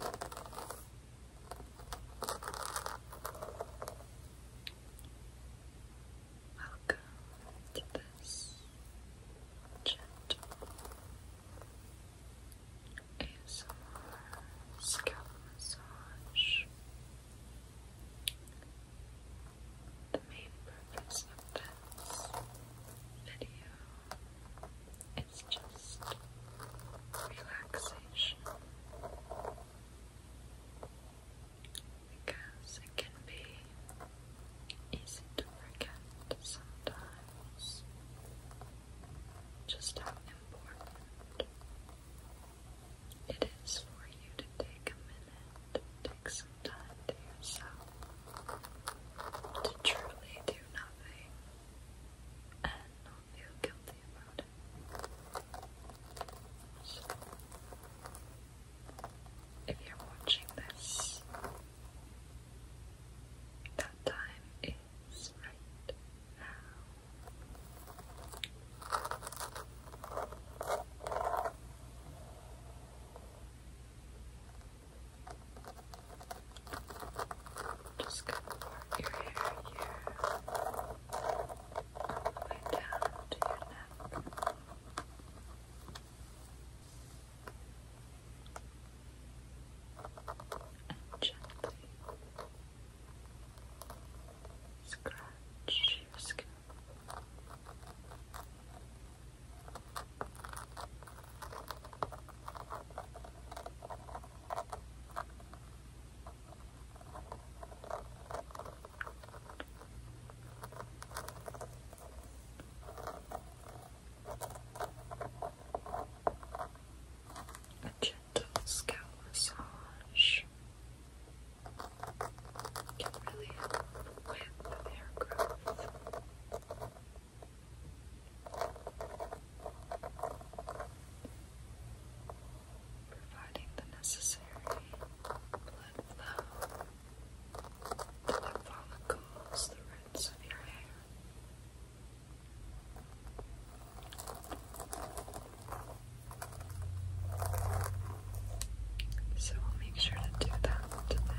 Welcome to this gentle ASMR scalp massage. The main purpose of this video it's just relaxation because it can be easy to forget sometimes just how important it is for you to take a minute, take some time to yourself, to truly do nothing do if you're watching this, that time is right now. Just go to part your hair here. way down to your neck. gently scratch your skin. A gentle scalp massage can really help hair growth providing the necessary blood flow follicles, the roots of your hair. So we'll make sure to do that today for you.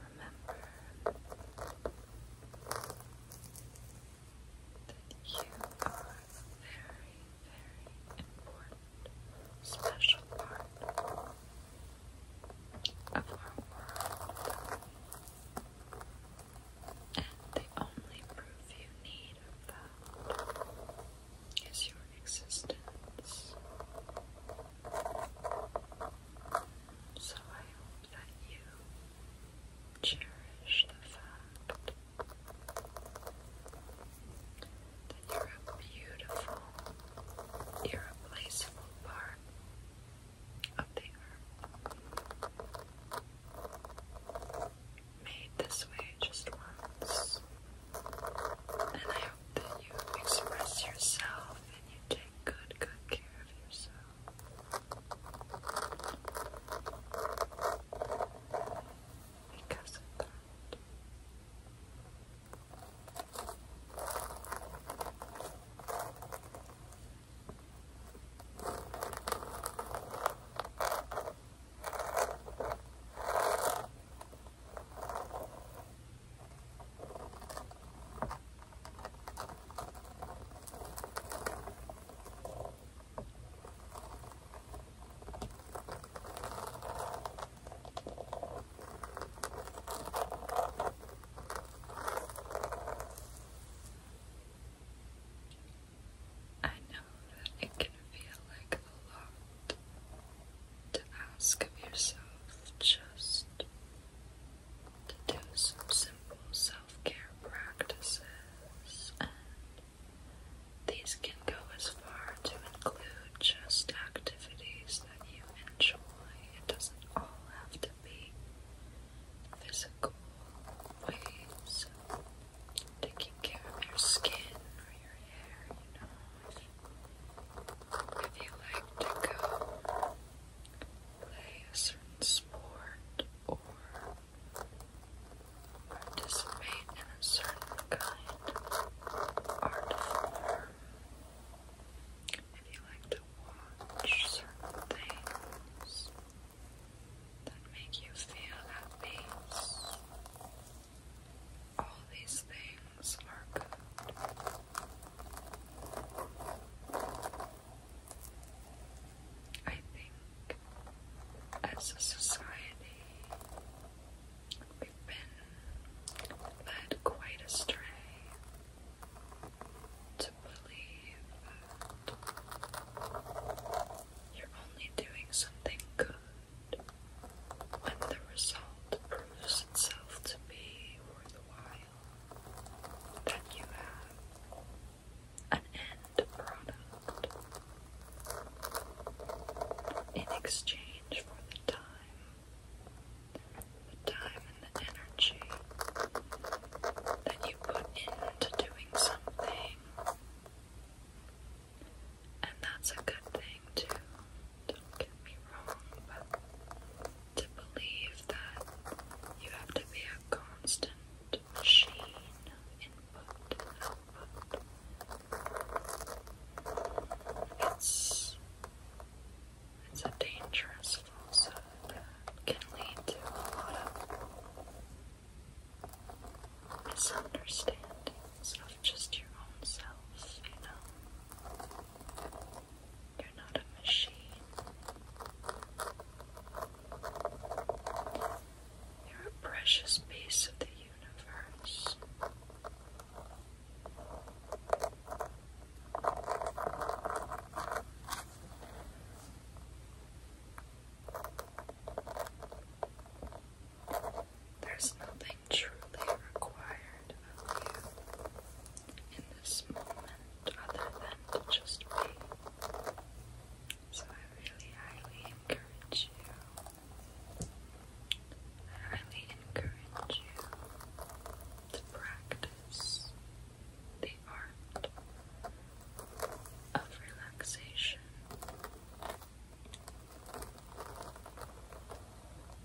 Remember that you are a very, very important, special part of our world. And the only proof you need of that is your existence. So I hope that you cherish the fact that you're a beautiful, irreplaceable part of the earth. Made this way just once and I hope that you express yourself and you take good, good care of yourself. Because of that. I know that it can feel like a long to ask of yourself just to do some simple self care practices, and these can go as far to include just activities that you enjoy. It doesn't all have to be physical ways of taking care of your skin or your hair, you know. If you like to go play a certain sport or participate in a certain kind of art form, if you like to watch certain things that make you feel at all these things are good. I think as a society, we've been led quite astray to believe you're only doing something good when the result proves itself to be worthwhile, that you have an end product in exchange for the time. The time and the energy that you put into doing something. And that's a good thing, too don't get me wrong, but to believe that you have to be a constant machine input output, it's, it's a dangerous falsehood that can lead to a lot of misunderstandings of just your own self, you know. You're not a machine. You're a precious piece of the universe. There's nothing truly required of you in this moment other than to just wait. So I really highly encourage you. I highly encourage you to practice the art of relaxation.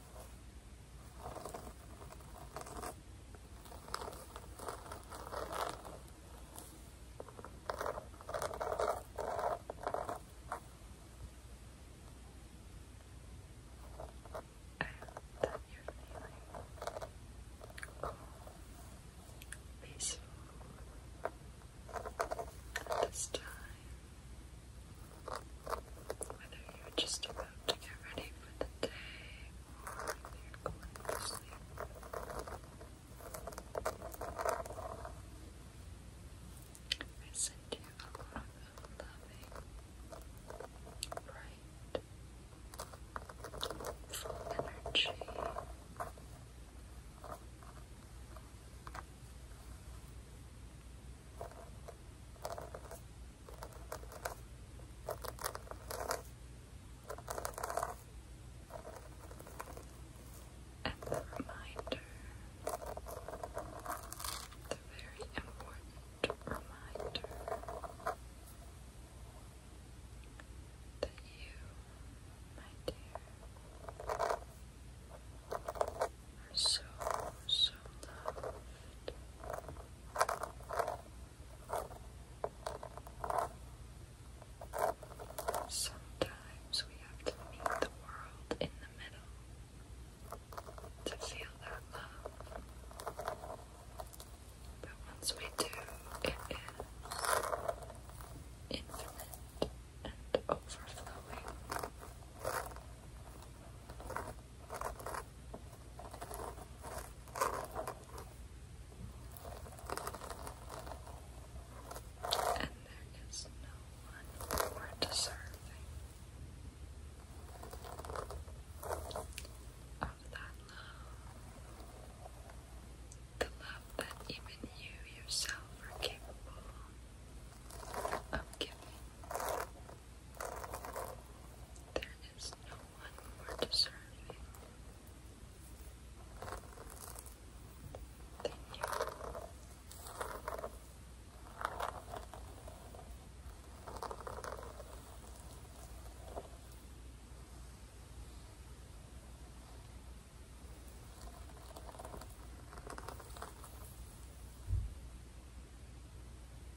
that you're feeling peaceful at this time. Whether you're just about to get ready for the day or you're going to sleep. I send you a lot loving, bright, full energy. And reminder, the very important reminder that you, my dear, so, so loved. Sometimes we have to meet the world in the middle to feel that love. But once we do, it is infinite and overflowing. And there is no one more deserving of that love, the love that even you yourself are capable of giving. There is no one more deserving than you.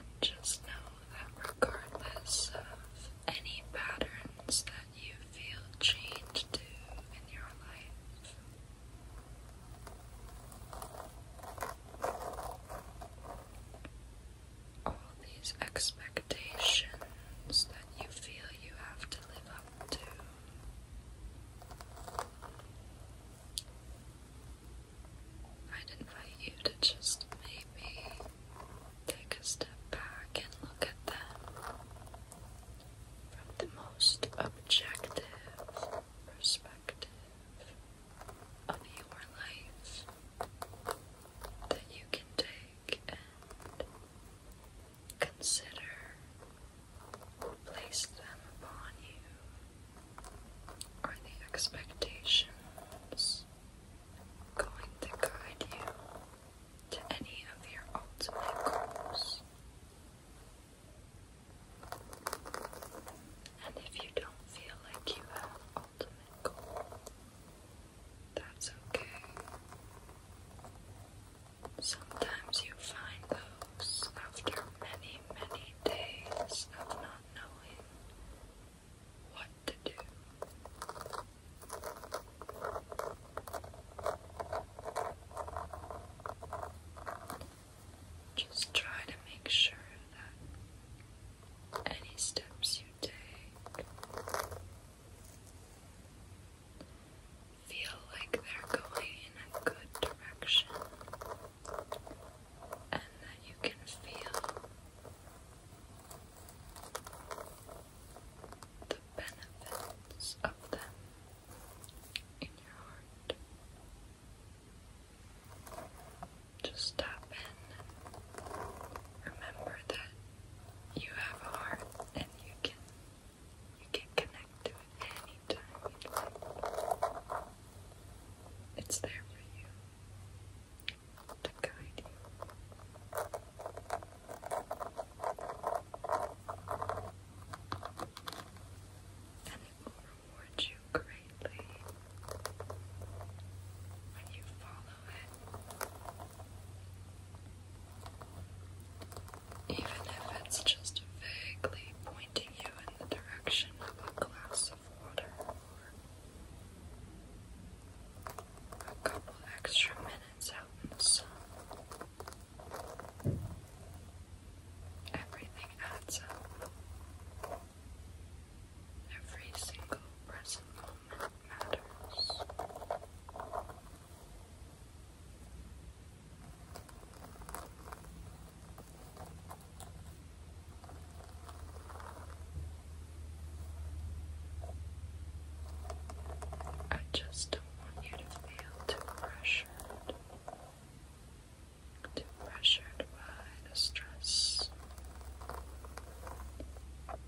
And just know that regardless of any patterns that you feel chained to in your life, all these expectations that you feel you have to live up to. i invite you to just maybe take a step back and look at them from the most objective perspective of your life that you can take and consider, place them upon you, or the expectations going to guide you to any of your ultimate goals. And if you don't feel like you have an ultimate goal, that's okay. Sometimes you find those after many, many days of not knowing what to do. Just try to make sure that any steps you take feel like they're going in a good direction and that you can feel the benefits of them in your heart. Just stop in. Remember that you have a heart and you can you can connect to it anytime you like. It's there for you to guide you heaven will reward you greatly when you follow it. Even if it's just vaguely pointing you in the direction of a glass of water or a couple extra minutes out in the sun. Everything adds up. Every single present moment matters. I just don't want you to feel too pressured to be pressured by the stress of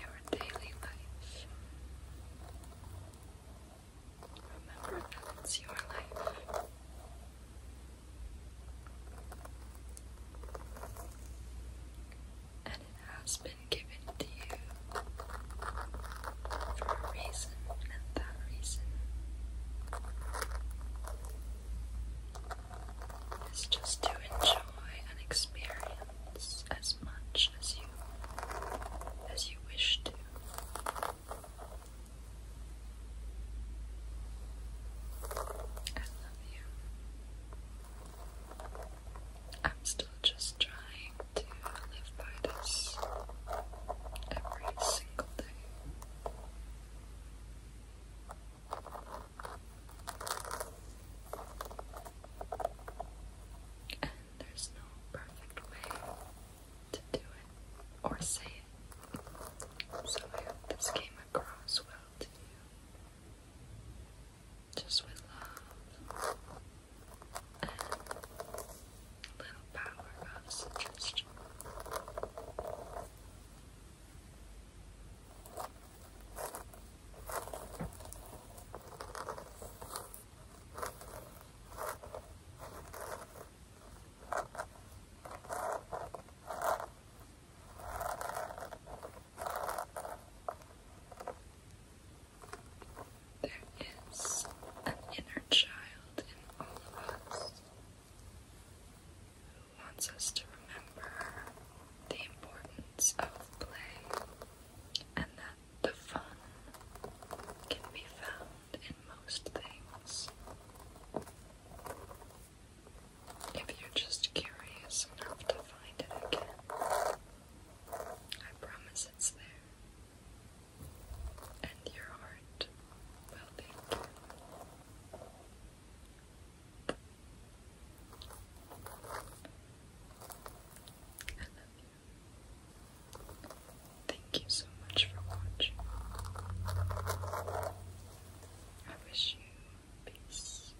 your daily life. Remember that it's your life. And it has been given to you for a reason and that reason is just to enjoy and experience as much as you as you wish to. I love you. I'm still just trying to live by this every single day. And there's no perfect way to do it or say it. So I hope this came across well to you. Just with love little power of suggestion. There is an inner child in all of us who wants us to remember the importance of play and that the fun can be found in most things. If you're just curious enough to find it again, I promise it's there and your heart will thank I love you. Thank you so much for watching. I wish you peace.